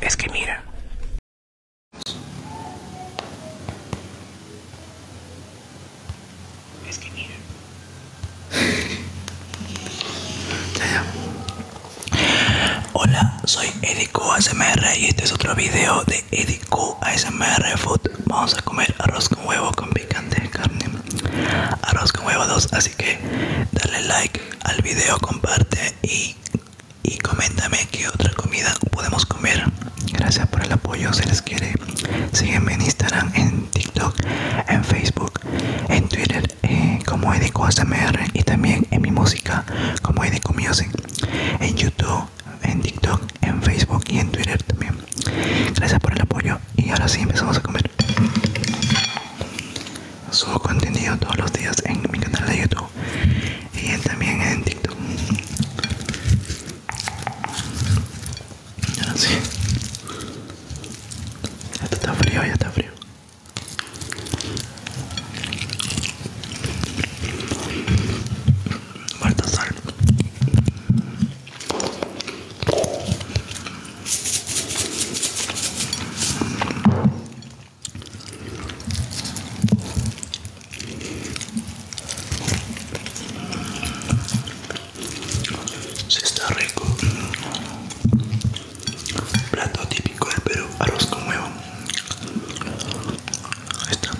Es que mira. Es que mira. Hola, soy Edico ASMR y este es otro video de Edico ASMR Food. Vamos a comer arroz con huevo con picante de carne. Arroz con huevo 2 así así que dale like al video, comparte y, y coméntame qué otra comida podemos comer. Gracias por el apoyo, se les quiere. Sígueme en Instagram, en TikTok, en Facebook, en Twitter eh, como Edico ASMR y también en mi música como Edico Music, en YouTube, en TikTok, en Facebook y en Twitter también. Gracias por el apoyo y ahora sí empezamos a comer subo contenido todos los días en mi canal de YouTube y también en TikTok. sé. Ya está frío, ya está frío. sal. Se está rico. Plato típico pero arroz con huevo. está.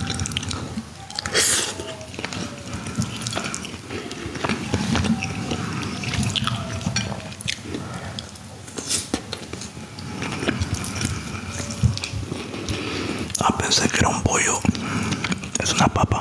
Ah, pensé que era un pollo. Es una papa.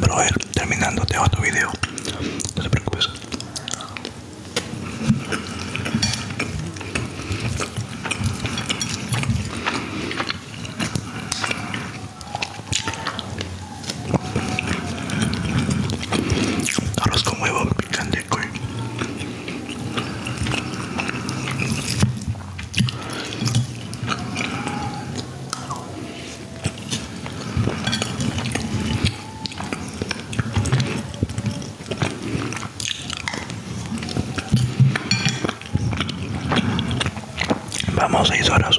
Pero a ver, terminando te hago otro video. No te preocupes. Arroz con huevo picante, coy. Vamos a horas.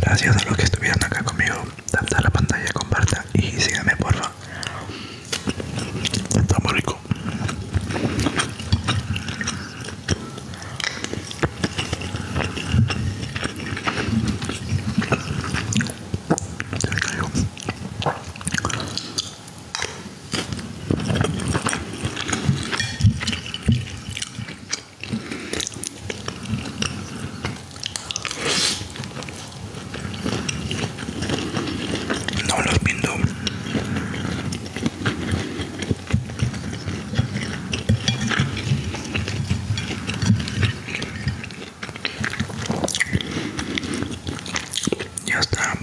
Gracias a los que estuvieron acá conmigo. Tapa la pantalla, comparta y síganme, porfa. Está rico. No los pinto. Ya está.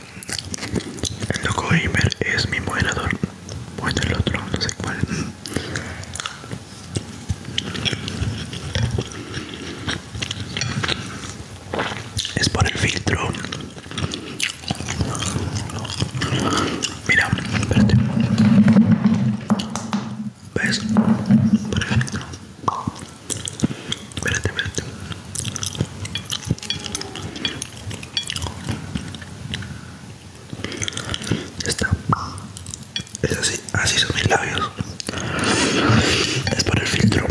El loco gamer es mi moderador. Bueno, el otro, no sé cuál. Es por el filtro. Mira, espérate. ¿Ves? Por Perfecto. Espérate, espérate. Ya está. Es así, así son mis labios. Es por el filtro.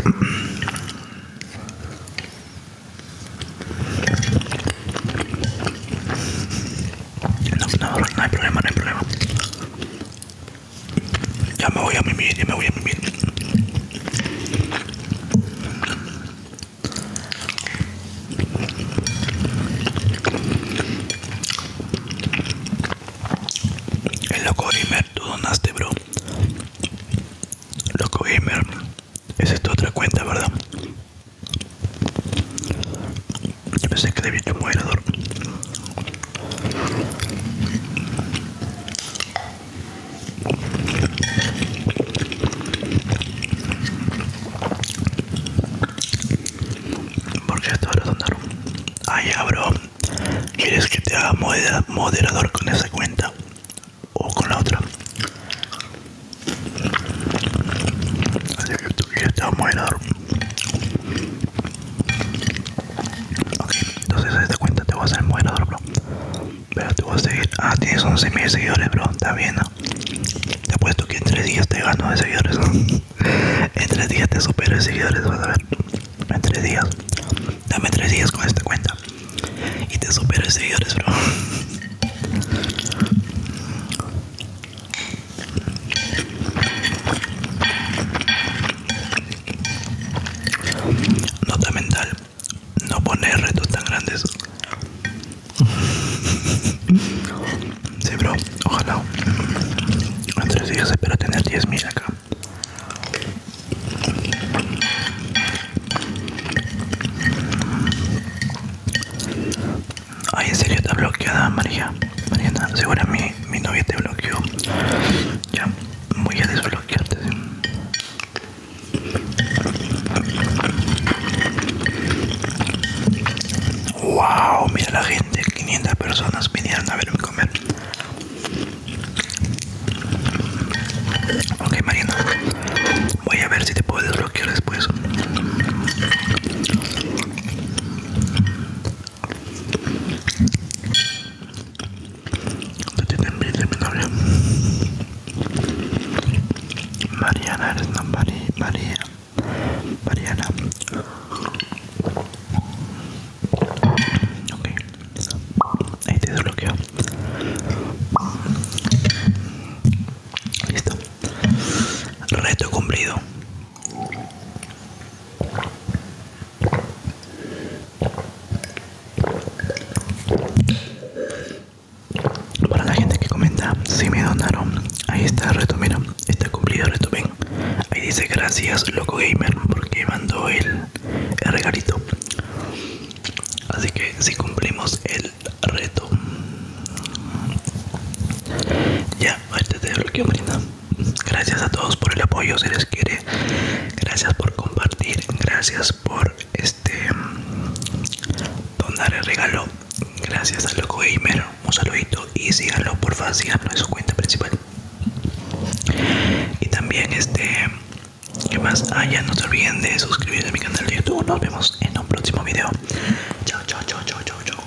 No, no, no hay problema, no hay problema. Ya me voy a mimir, ya me voy a mimir. El loco gamer, tú donaste, bro. Loco gamer, esa es tu otra cuenta, ¿verdad? Yo pensé que le había un moderador. Porque hasta ahora Ahí Ay, bro. ¿Quieres que te haga moderador con esa cuenta? O con la otra. Así que tú quieres te haga moderador. Ok, entonces esta cuenta te voy a hacer moderador, bro. Pero te voy a seguir. Ah, tienes 11.000 seguidores, bro. Está bien, ¿no? Te apuesto que en 3 días te gano de seguidores. en 3 días te supero de seguidores, vas a ver. En 3 días. Dame 3 días con esta cuenta. Y te supero de seguidores, bro. Nota mental, no poner retos tan grandes. Sí, bro, ojalá. En tres días espero tener 10.000 acá. Ay, en serio, está bloqueada María. Mariana, segura mi, mi novia te bloqueó. Ya, voy a desbloquearte. Wow, mira la gente, 500 personas vinieron a verme comer. Ok, Mariana, voy a ver si te puedo desbloquear después. Te tiene envidia mi novia Mariana, eres una María María Mariana Ok Ahí te desbloqueo Listo Reto cumplido para la gente que comenta, si me donaron, ahí está el reto, mira, está cumplido el reto, bien. Ahí dice gracias loco gamer porque mandó el, regalito. Así que si cumplimos el reto. Ya, ahorita te bloqueo Marina. Gracias a todos por el apoyo, Si les quiere. Gracias por compartir, gracias por este donar el regalo. Gracias a Loco Gamer, un saludito y síganlo por favor, síganlo en su cuenta principal. Y también este que más haya, ah, no se olviden de suscribirse a mi canal de YouTube. Nos vemos en un próximo video. chao, chao, chao, chao, chao.